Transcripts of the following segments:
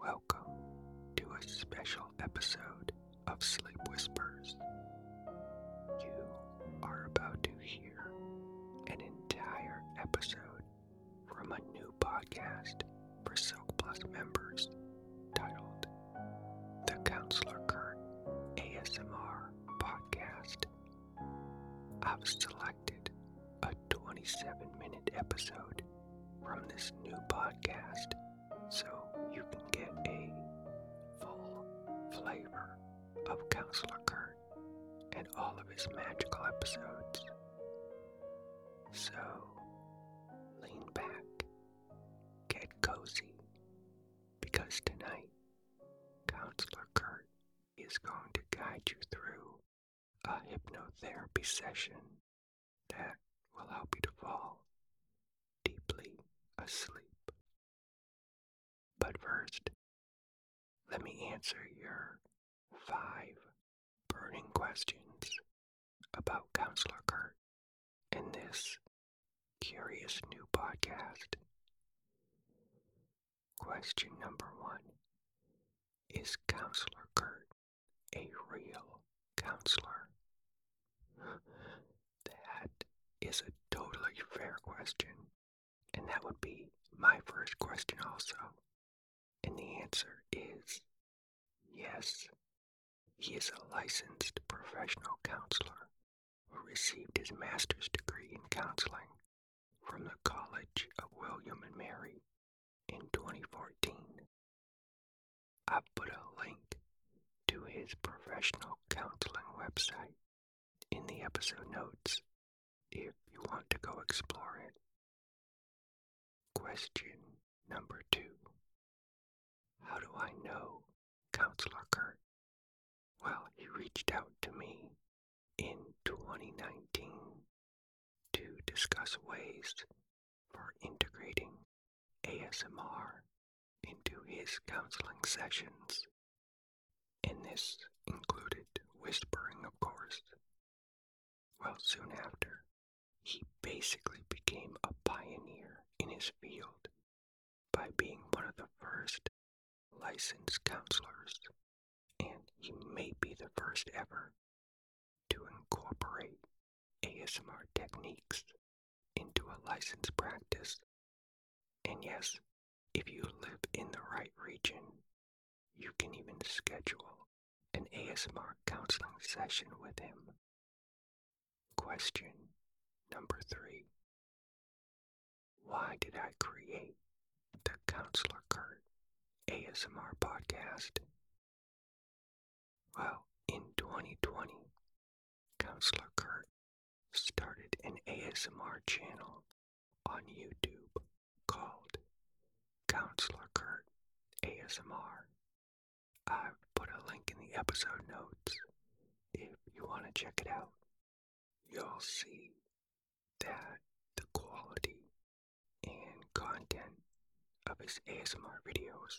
Welcome to a special episode of Sleep Whispers. You are about to hear an entire episode from a new podcast for Silk Plus members titled The Counselor Kurt ASMR Podcast. I've selected a 27 minute episode from this new podcast so you can get a full flavor of Counselor Kurt and all of his magical episodes. So, lean back, get cozy, because tonight, Counselor Kurt is going to guide you through a hypnotherapy session that will help you to fall deeply asleep. But first, let me answer your five burning questions about Counselor Kurt in this curious new podcast. Question number one Is Counselor Kurt a real counselor? That is a totally fair question, and that would be my first question also. And the answer is yes. He is a licensed professional counselor who received his master's degree in counseling from the College of William and Mary in 2014. I put a link to his professional counseling website in the episode notes if you want to go explore it. Question number two How do I know Counselor Kurt? Well, he reached out to me in 2019 to discuss ways for integrating ASMR into his counseling sessions, and this included whispering, of course. Well, soon after, he basically became a pioneer in his field by being one of the first licensed counselors and he may be the first ever to incorporate ASMR techniques into a licensed practice. And yes, if you live in the right region, you can even schedule an ASMR counseling session with him. Question number three Why did I create the Counselor Kurt ASMR podcast. Well, in 2020, Counselor Kurt started an ASMR channel on YouTube called Counselor Kurt ASMR. I've put a link in the episode notes if you want to check it out. You'll see that the quality and content of his ASMR videos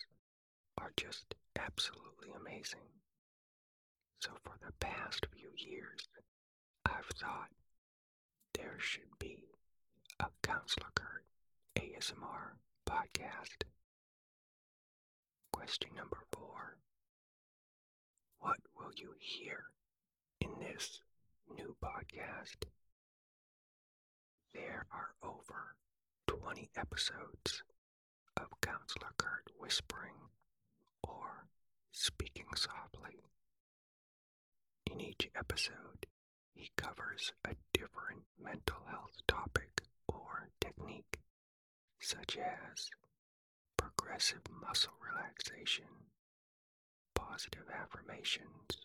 are just absolutely amazing. So, for the past few years, I've thought there should be a Counselor Kurt ASMR podcast. Question number four What will you hear in this new podcast, there are over 20 episodes of Counselor Kurt whispering or speaking softly. In each episode, he covers a different mental health topic or technique, such as progressive muscle relaxation, positive affirmations,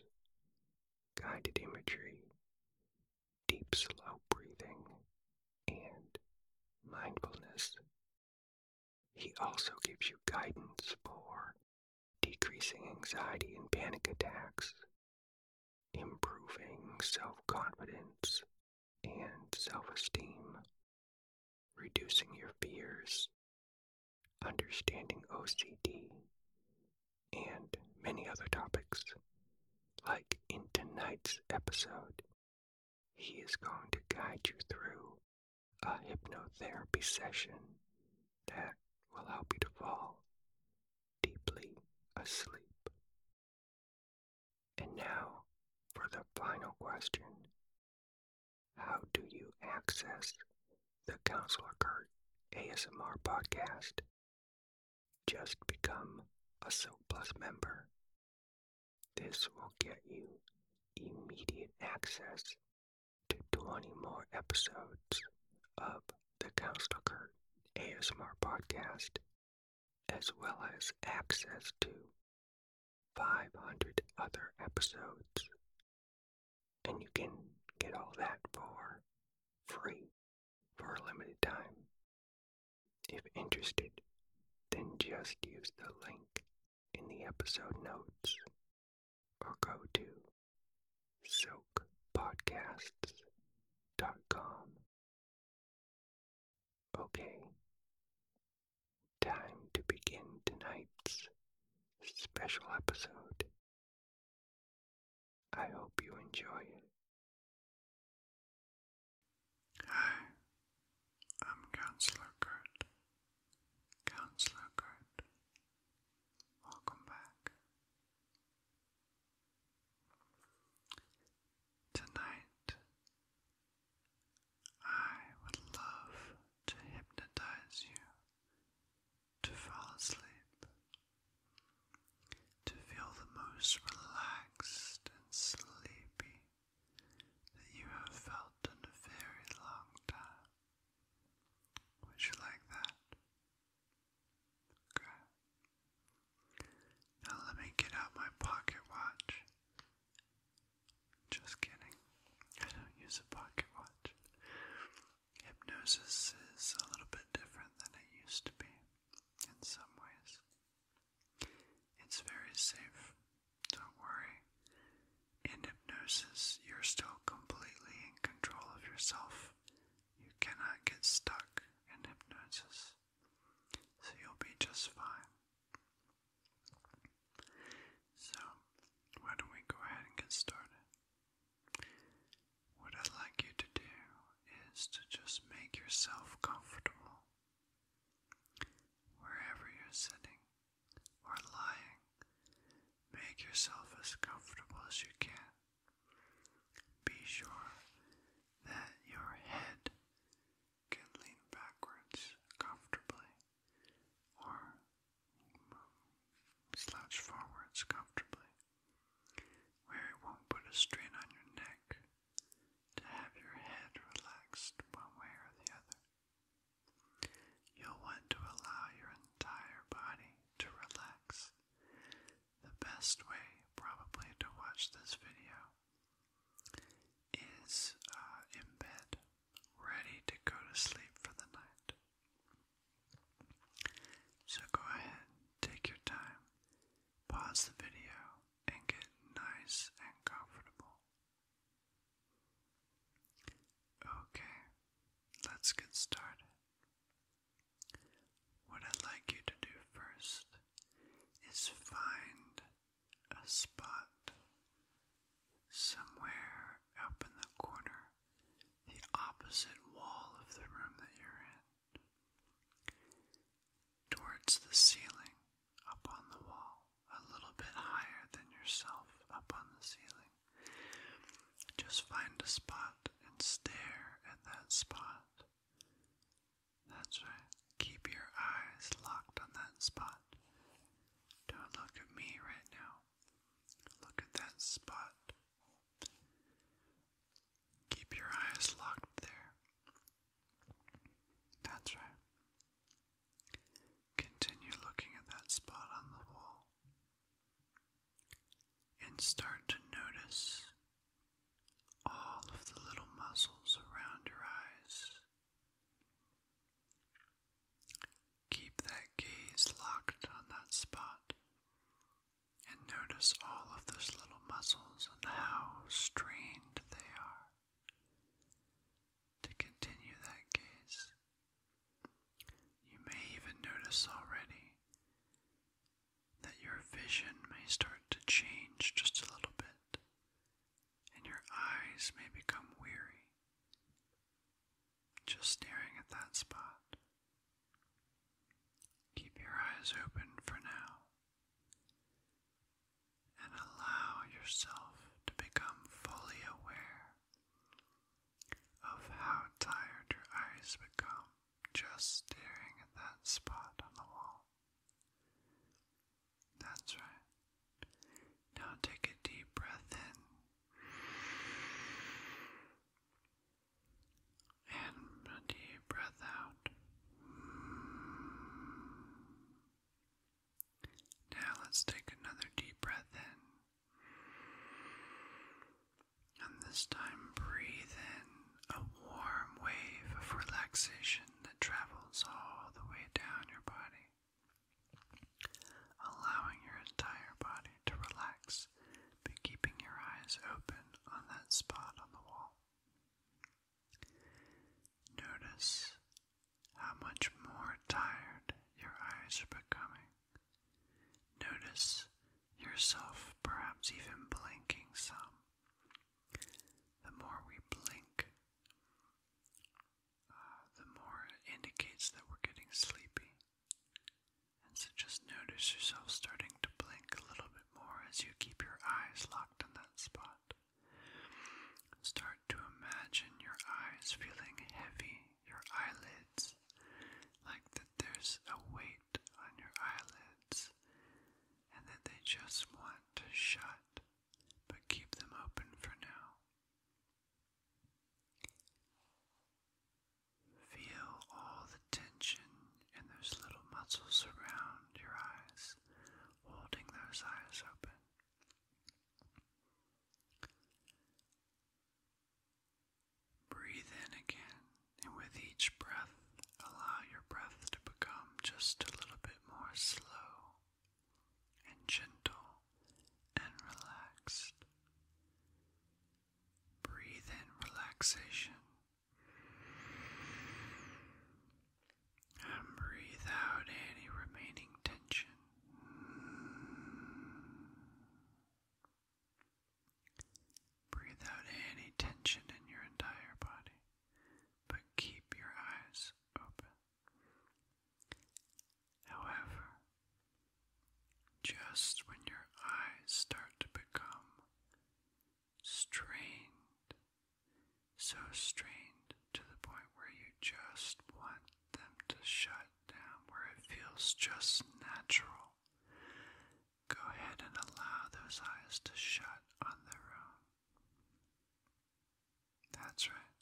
guided imagery, deep slow breathing, and mindfulness. He also gives you guidance for decreasing anxiety and panic attacks, improving self confidence and self esteem, reducing your fears, understanding OCD, and many other topics. Like in tonight's episode, he is going to guide you through a hypnotherapy session that will help you to fall deeply asleep. And now for the final question how do you access the Counselor Card ASMR podcast? Just become a Silk member. This will get you immediate access to 20 more episodes of the Counselor Card ASMR podcast, as well as access to 500 other episodes. And you can get all that for free for a limited time. If interested, then just use the link in the episode notes or go to silkpodcasts.com. Okay, Time to begin tonight's special episode. I hope you enjoy Hi, I'm Counselor Kurt. Counselor Kurt, welcome back. Tonight, I would love to hypnotize you to fall asleep, to feel the most relaxed and sleepy that you have felt in a very long time. Would you like that? Okay. Now let me get out my pocket watch just kidding. I don't use a pocket watch. Hypnosis is a little bit different than it used to be in some ways. It's very safe. Don't worry. In hypnosis, you're still completely in control of yourself. You cannot get stuck in hypnosis. So you'll be just fine. So, why don't we go ahead and get started? What I'd like you to do is to just make yourself comfortable wherever you're sitting or lying. Make yourself as comfortable as you can. Be sure that your head can lean backwards comfortably or slouch forwards comfortably, where it won't put a strain on your neck to have your head relaxed one way or the other. You'll want to allow your entire body to relax. The best way, probably, to watch this video is uh, in bed ready to go to sleep for the night. So go ahead, take your time, pause the video, and get nice and comfortable. Okay, let's get started. What I'd like you to do first is find a spot somewhere up in the corner, the opposite wall of the room that you're in, towards the ceiling up on the wall, a little bit higher than yourself up on the ceiling. Just find a spot and stare at that spot. That's right. Keep your eyes locked on that spot. Don't look at me right now. Look at that spot. Keep your eyes locked there. That's right. Continue looking at that spot on the wall. And start to notice all of the little muscles around your eyes Keep that gaze locked on that spot and notice all of those little muscles and how strained they are. To continue that gaze, you may even notice already that your vision may start to change just a little bit and your eyes may become weary just staring at that spot. Keep your eyes open for now and allow yourself to become fully aware of how tired your eyes become just staring at that spot on the wall. That's right. Now take a deep breath in and a deep breath out. Now let's take another deep breath in. And this time, breathe in a warm wave of relaxation that travels all the way down your body allowing your entire body to relax, but keeping your eyes open on that spot on the wall. Notice how much more tired your eyes are becoming. Notice yourself perhaps even blinking some. The more we blink, uh, the more indicates that we're getting sleepy. And so just notice yourself starting to blink a little bit more as you keep your eyes locked on that spot. Start to imagine your eyes feeling heavy, your eyelids, like that there's a weight on your eyelids, and that they just want to shut but keep them open for now. Feel all the tension in those little muscles around your eyes, holding those eyes open. Breathe in again, and with each breath, allow your breath to become just a little bit more slow and gentle and relaxed. Breathe in relaxation. And breathe out any remaining tension. Breathe out any tension in your entire body, but keep your eyes open. However, just when your eyes start to become strained, so strained to the point where you just want them to shut down, where it feels just natural, go ahead and allow those eyes to shut on their own. That's right.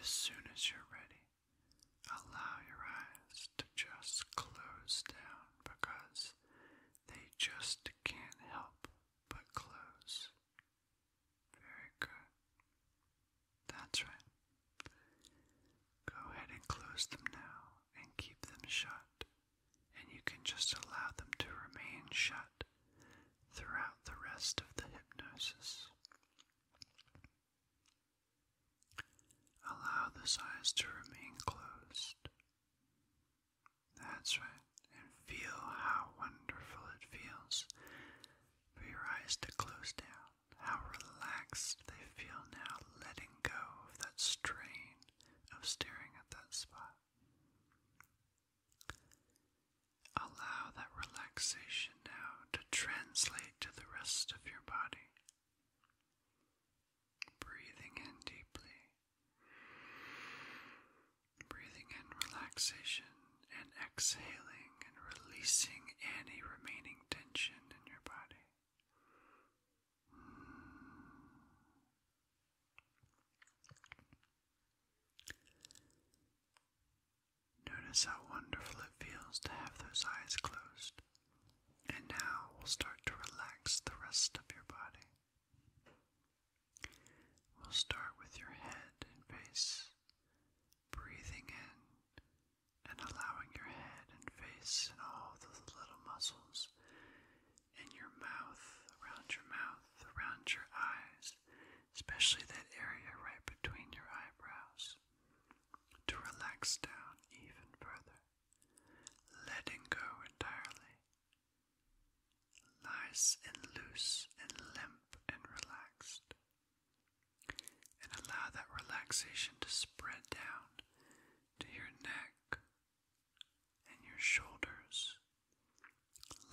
As soon as you're ready, allow your eyes to just close down because they just can't help but close. Very good. That's right. Go ahead and close them now and keep them shut, and you can just allow them to remain shut throughout the rest of the hypnosis. Allow the eyes to remain closed. That's right, and feel how wonderful it feels for your eyes to close down. How relaxed they feel now, letting go of that strain of staring at that spot. Allow that relaxation now to translate to the rest of your body. Breathing in deeply, breathing in relaxation, and exhaling and releasing any remaining tension in your body. Notice how wonderful it feels to have those eyes closed. And now we'll start to relax the rest of your body. We'll start with your head and face, breathing in and allowing your head and face and all the little muscles in your mouth, around your mouth around your eyes, especially that area right between your eyebrows, to relax down even further, letting go entirely. Nice and loose and limp and relaxed. And allow that relaxation to spread down to your neck and your shoulders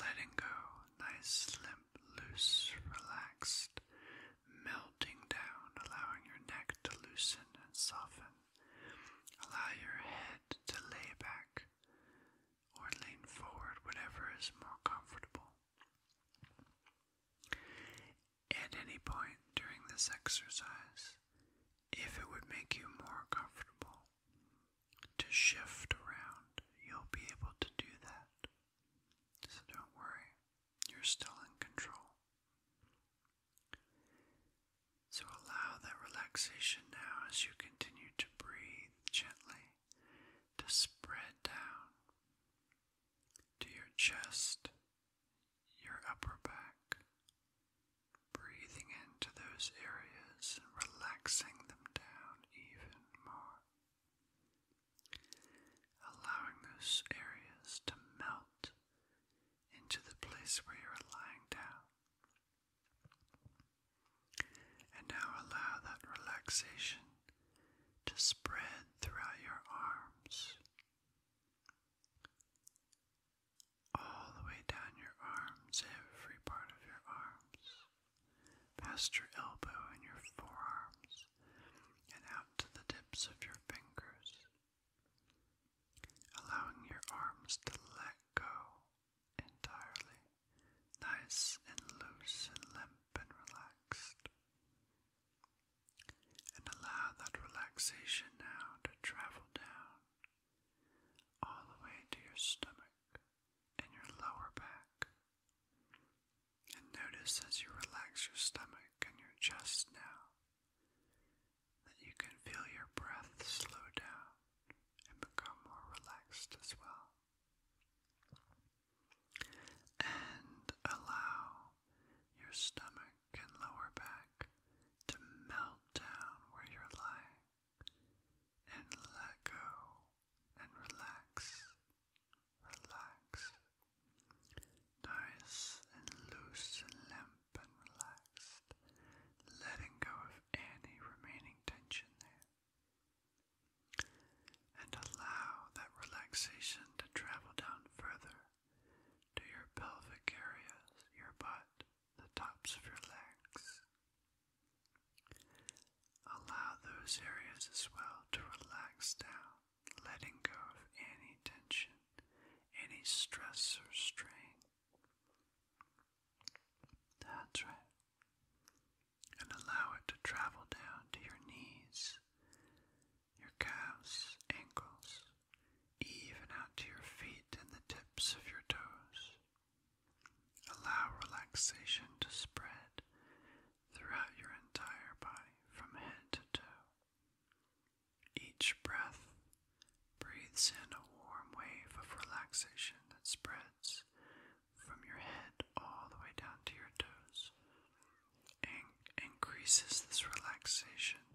Letting go, nice, limp, loose, relaxed, melting down, allowing your neck to loosen and soften. Allow your head to lay back or lean forward, whatever is more comfortable. At any point during this exercise, if it would make you more comfortable, to shift around, you'll be able to do that. So don't worry, you're still in control. So allow that relaxation now as you continue to breathe gently, to spread down to your chest, your upper back, breathing in to those areas, relaxing them down even more, allowing those areas to melt into the place where you are lying down. And now allow that relaxation to spread throughout your arms, all the way down your arms, every part of your arms past your elbow and your forearms, and out to the tips of your fingers, allowing your arms to let go entirely, nice and loose and limp and relaxed. And allow that relaxation now to travel down all the way to your stomach, and your lower back. And notice as you relax your stomach and your chest now that you can feel your breath slow down and become more relaxed as well. And allow your stomach and lower back to melt down where you're lying and let go and relax. Relax. Nice and loose and limp and relaxed. Letting go of any remaining tension there. And allow that relaxation to travel down further to your pelvic areas, your butt, the tops of your legs. Allow those areas as well to relax down, letting go of any tension, any stress or strain. That's right. And allow it to travel down to your knees, your calves, ankles, even out to your feet and the tips of your toes. Allow relaxation to spread throughout your entire body from head to toe. Each breath breathes in a warm wave of relaxation that spreads from your head all the way down to your toes and increases this relaxation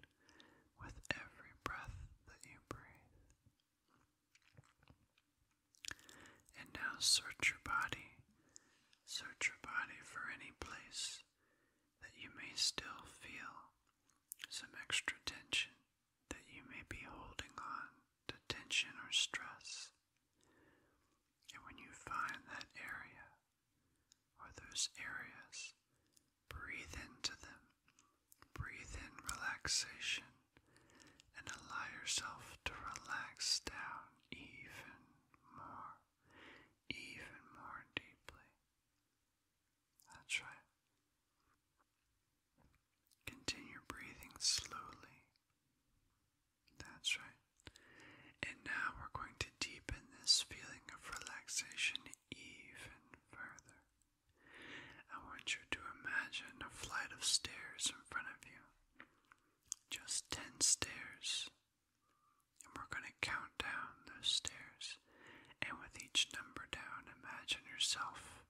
with every breath that you breathe. And now search your body, search your body for any place that you may still feel some extra tension that you may be holding on to tension or stress. And when you find that area or those areas, breathe into them Breathe in relaxation and allow yourself to relax down even more, even more deeply. That's right. Continue breathing slowly. That's right. And now we're going to deepen this feeling of relaxation even further. I want you to imagine a flight of stairs in front of you. Just 10 stairs. And we're going to count down those stairs. And with each number down, imagine yourself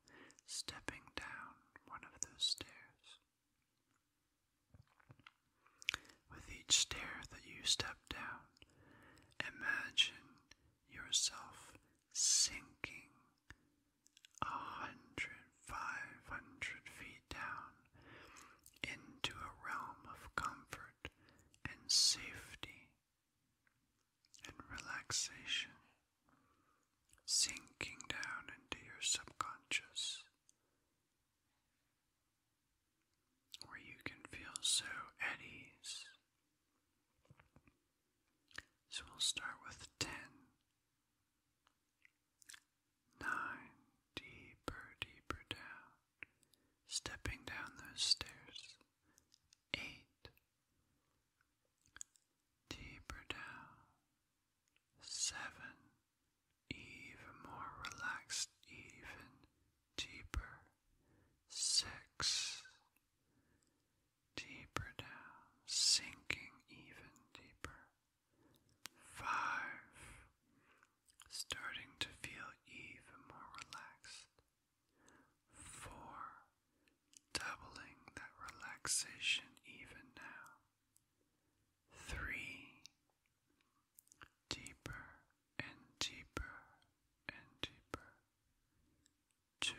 stepping down one of those stairs. With each stair that you step down, imagine yourself sinking a hundred, five hundred feet down into a realm of comfort and safety and relaxation, sinking down into your subconscious, where you can feel so at ease. So we'll start with 10. 9. Deeper, deeper down. Stepping down those stairs. 8. Deeper down. 7. Even more relaxed, even deeper. 6 deeper down, sinking even deeper. Five, starting to feel even more relaxed. Four, doubling that relaxation even now. Three, deeper and deeper and deeper two,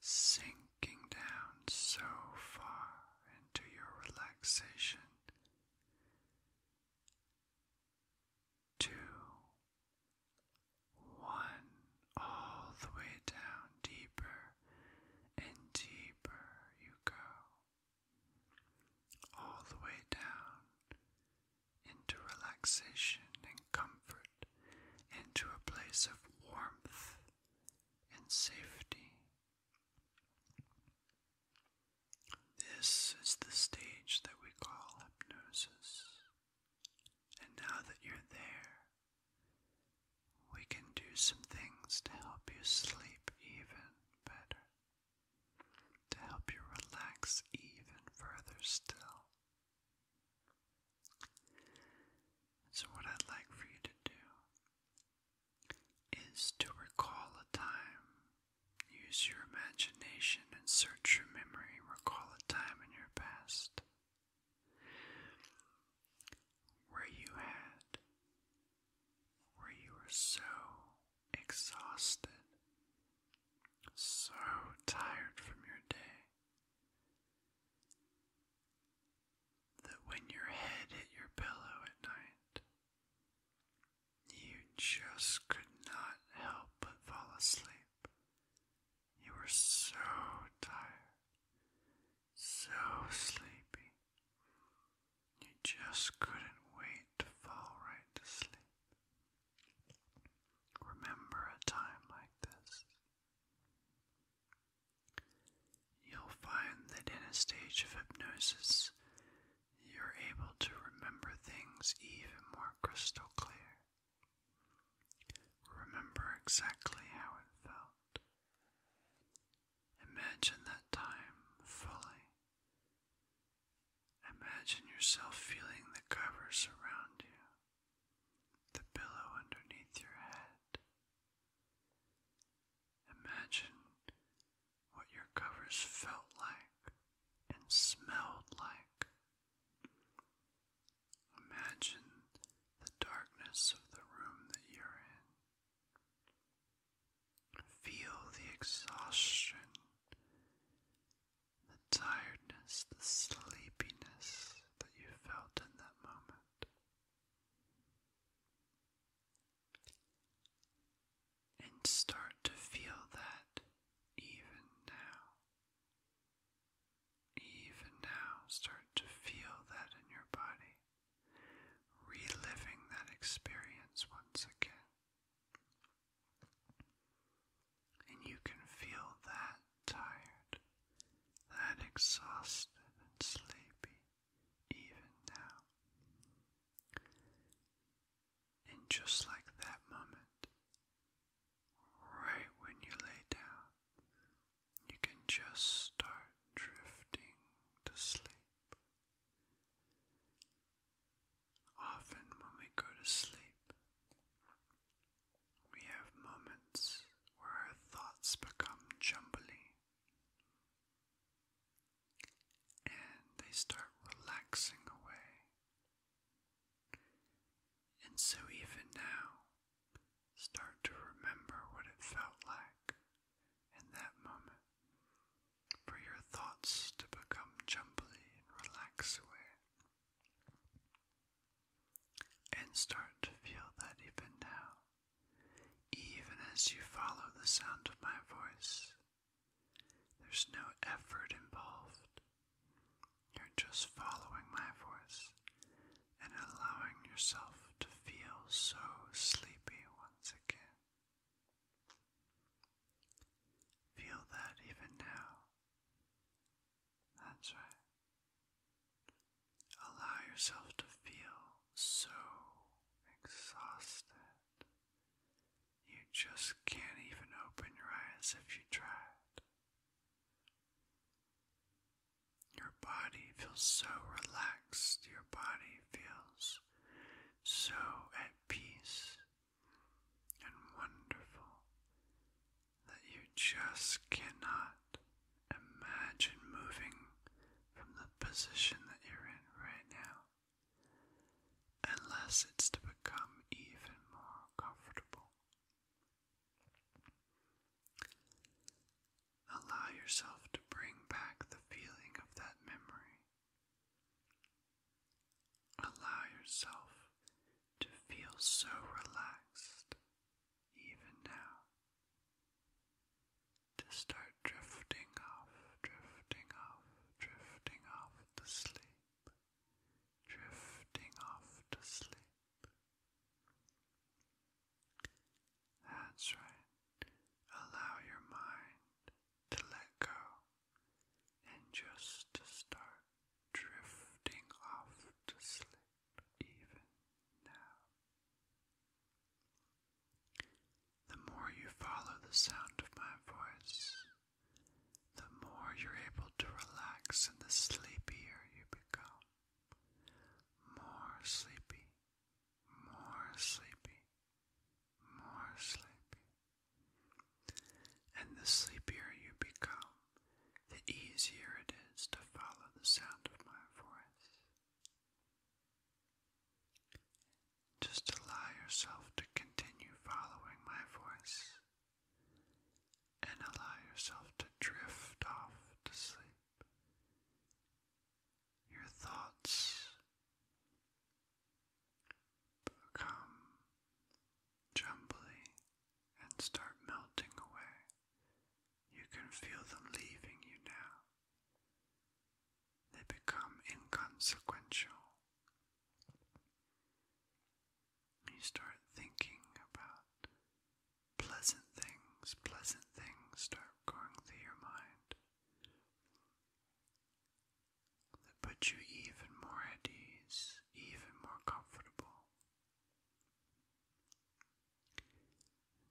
sinking down so far into your relaxation, two, one, all the way down, deeper and deeper you go, all the way down into relaxation and comfort, into a place of warmth and safety. This is the stage that we call hypnosis. And now that you're there, we can do some things to help you sleep even better, to help you relax even further still, so, what I'd like for you to do is to recall a time. Use your imagination and search your memory. Recall a time in your past where you had, where you were so exhausted so tired from your day that when your head hit your pillow at night, you just could not help but fall asleep. You were so tired, so sleepy, you just couldn't wait to fall right to sleep. Remember a time like this. You'll find that in a stage of hypnosis, you're able to remember things even more crystal clear. Remember exactly how it felt. Imagine that time fully Imagine yourself feeling the covers around you, the pillow underneath your head. Imagine what your covers felt like and smelled like. Imagine the darkness of the room that you're in. Feel the exhaustion the tiredness, the sleepiness that you felt in that moment. And start to feel that even now. Even now, start to feel that in your body, reliving that experience once again. And you can feel that tired, that exhausted and sleepy even now. And just like that moment, right when you lay down, you can just start drifting to sleep. Often, when we go to sleep, we have moments where our thoughts become jumbly and they start relaxing away. And so, even now, start to remember what it felt like in that moment for your thoughts to become jumbly and relax away. And start to feel that even now, even as you follow the sound of my voice, there's no effort involved. You're just following my voice and allowing yourself to feel so sleepy once again. Feel that even now, that's right. Allow yourself to feel so exhausted. You just can't even open your eyes if you tried. Your body feels so relaxed. Your body feels so at peace and wonderful that you just cannot imagine moving from the position that you're in right now unless it's to become even more comfortable. Allow yourself to bring back the feeling of that memory Allow yourself to feel so relaxed even now. To start drifting off, drifting off, drifting off to sleep, drifting off to sleep. That's right. Allow your mind to let go and just to start drifting off to sleep even now. The more you follow the sound of my voice, the more you're able to relax and the sleepier you become. More sleepy, more sleepy, more sleepy. And the sleepier you become, the easier it is to follow the sound of my voice. Just allow yourself to continue following my voice and allow yourself to drift off to sleep. Your thoughts Come gently and start melting away. You can feel them leaving you now. They become inconsequential. You start thinking about pleasant things, pleasant things start going through your mind that put you even more at ease, even more comfortable.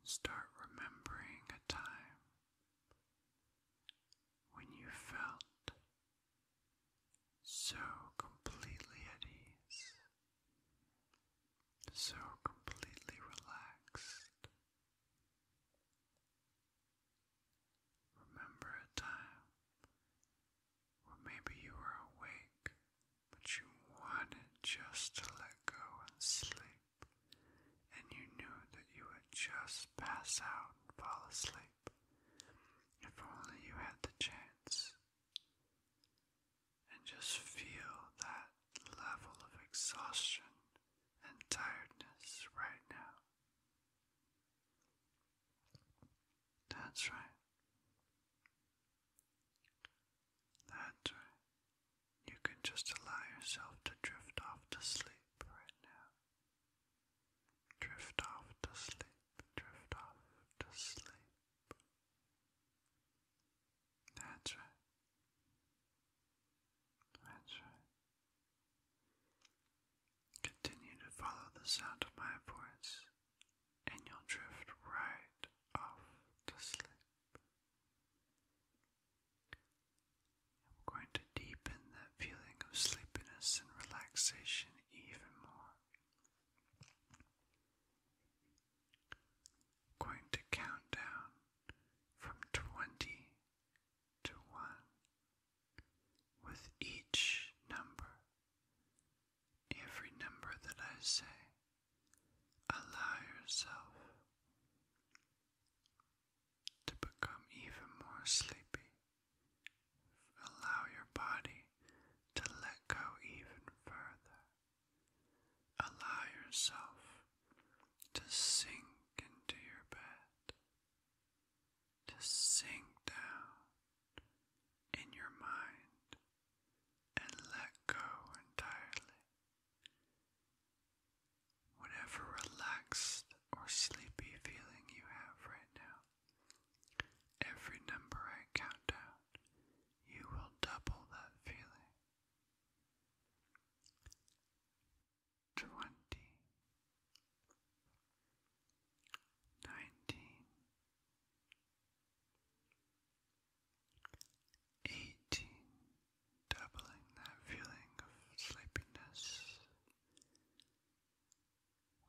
Start remembering a time when you felt so completely at ease, so completely relaxed. Remember a time where maybe you were awake, but you wanted just to let go and sleep, and you knew that you would just pass out and fall asleep if only you had the chance. And just feel that level of exhaustion and tiredness right now. That's right. That's right. You can just allow yourself to drift off to sleep right now. Drift off to sleep, drift off to sleep. That's right. That's right. Continue to follow the sound of my voice, and you'll drift right off to sleep. I'm going to deepen that feeling of sleepiness and relaxation even more. going to count down from 20 to 1 with each number, every number that I say, allow yourself to become even more sleepy. Allow your body to let go even further. Allow yourself to sink into your bed to sink down in your mind and let go entirely. Whatever relaxed or sleepy feeling you have right now, every number I count down, you will double that feeling twenty, nineteen, eighteen, doubling that feeling of sleepiness,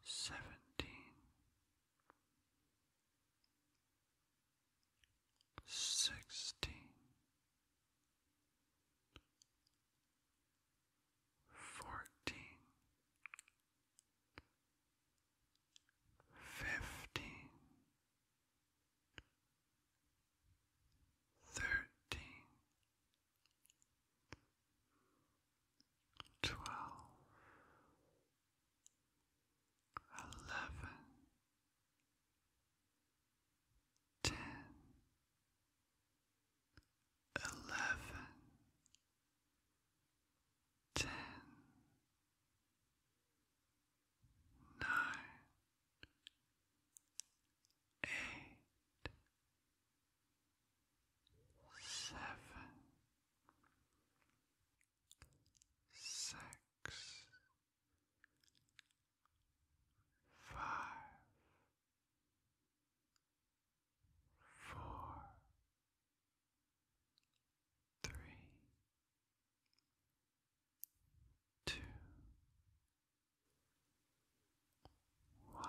seventeen, sixteen fourteen, fifteen, thirteen, twelve, eleven, ten eleven, ten, nine, eight, seven, six, five four, three, two, one.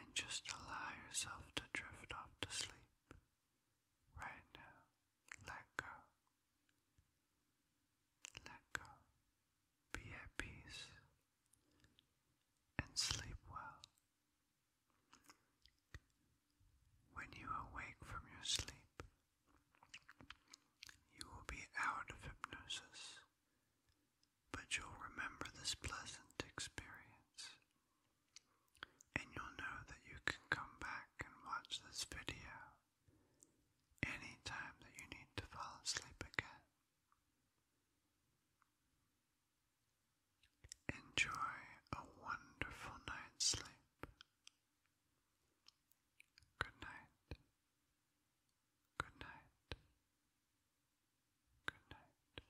And just allow yourself to drift off to sleep right now. Let go. Be at and sleep well. When you awake from your sleep, you will be out of hypnosis, but you'll remember this pleasant experience, and you'll know that you can come back and watch this video any that you need to fall asleep again. Enjoy a wonderful night's sleep. Good night. Good night. Good night.